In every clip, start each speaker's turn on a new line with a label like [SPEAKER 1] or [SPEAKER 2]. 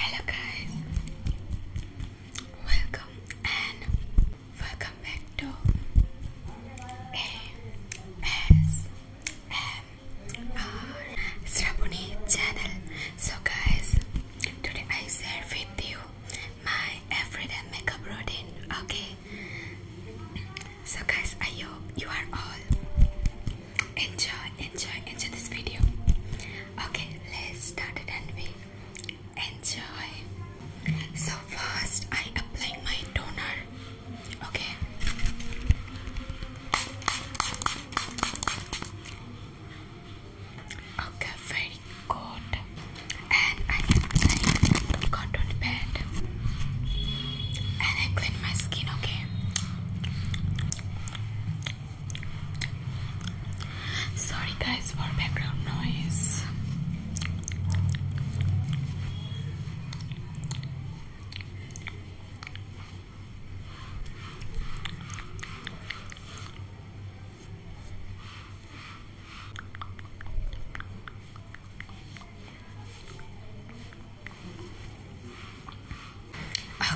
[SPEAKER 1] Hello guys, welcome and welcome back to ASMR Srabuni channel. So guys, today I share with you my everyday makeup routine. Okay, so guys, I hope you are all enjoy enjoy enjoy this video okay let's start it and we enjoy so first i apply my toner okay okay very good and i apply cotton pad and i clean my skin okay Sorry guys for background noise.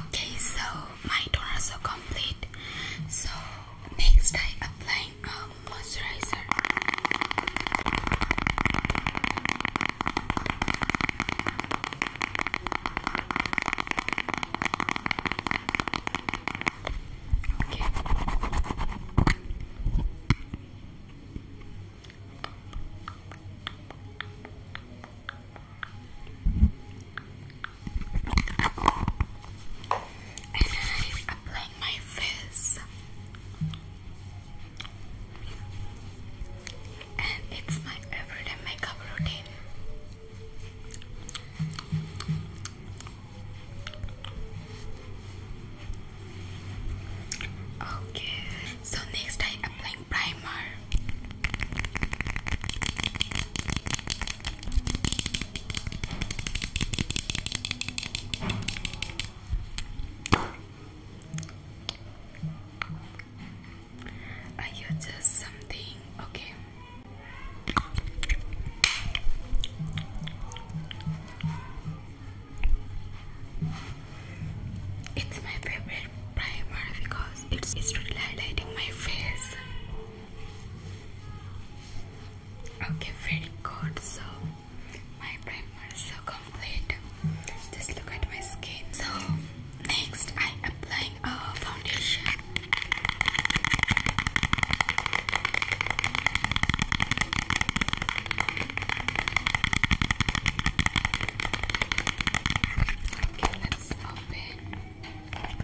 [SPEAKER 1] Okay, so my is so complete. So next I applying a um, moisturizer. Okay. I'm applying my face, and it's my everyday makeup routine. Okay, so next I applying primer. I use something okay. It's my favorite primer because it's, really highlighting my face. Okay, very good. So, my primer is so complete. Just look at my skin. So, next I'm applying a foundation. Okay, let's open. Okay,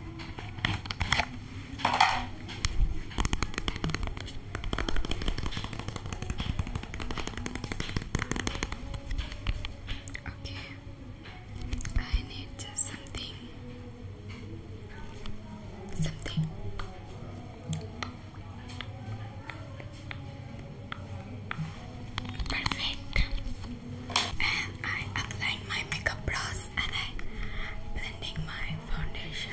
[SPEAKER 1] I need just something something. Perfect. And I applied my makeup brush and I blending my foundation.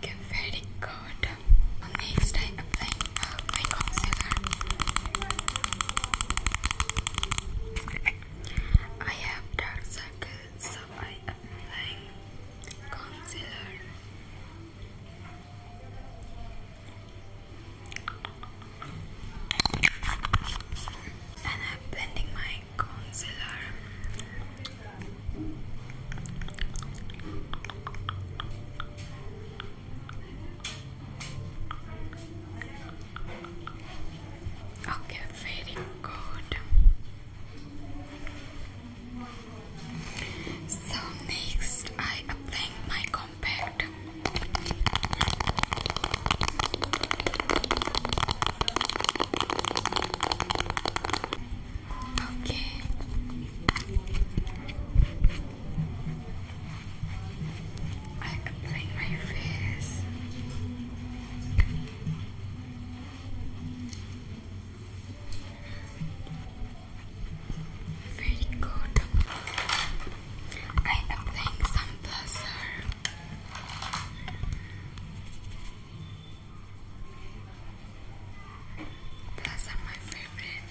[SPEAKER 1] Okay, very good. Next, I apply uh, my concealer. I have dark circles, so I apply concealer. And I'm blending my concealer. Okay, very good. So next I apply my compact. Okay. I apply my face. Very good. I am some buzzer. Those my favorite.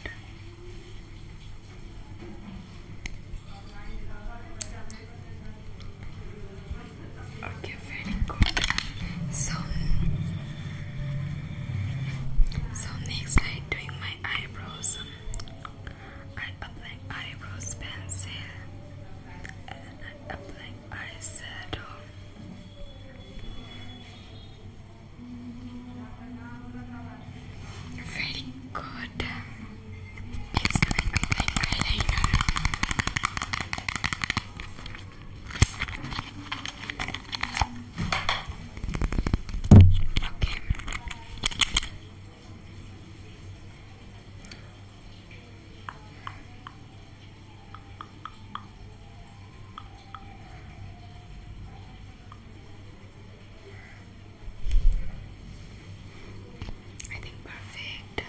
[SPEAKER 1] Okay, very So, so next I'm doing my eyebrows. I apply eyebrows pencil and I will eyeshadow. Very good. Okay. I think perfect.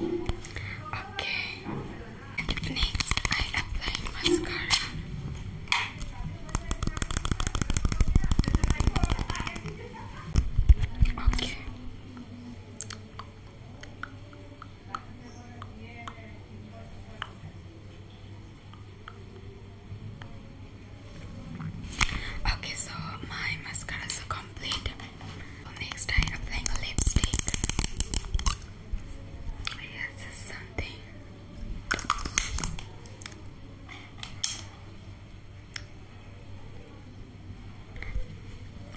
[SPEAKER 1] Okay. Next, I apply mascara. Okay. Okay, so my mascara is complete. Next, I applying lipstick. Yes, something.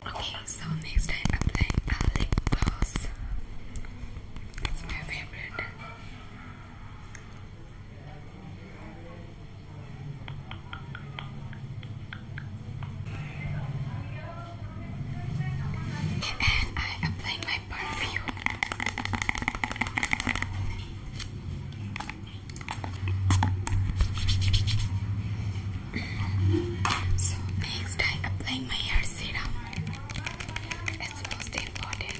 [SPEAKER 1] Okay, so next I apply a lip gloss. It's my favorite. And I apply my perfume. So next I apply my hair serum. It's most important.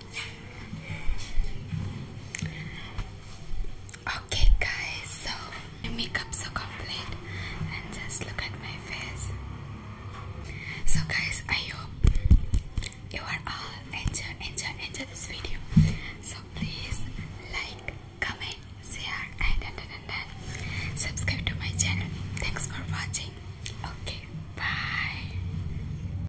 [SPEAKER 1] Okay, guys, so my makeup's so complete, and just look at my face. So, guys, I hope you are all enter, enter, enter this video. So, please like, comment, share, and, and, and, and subscribe to my channel. Thanks for watching. Okay, bye.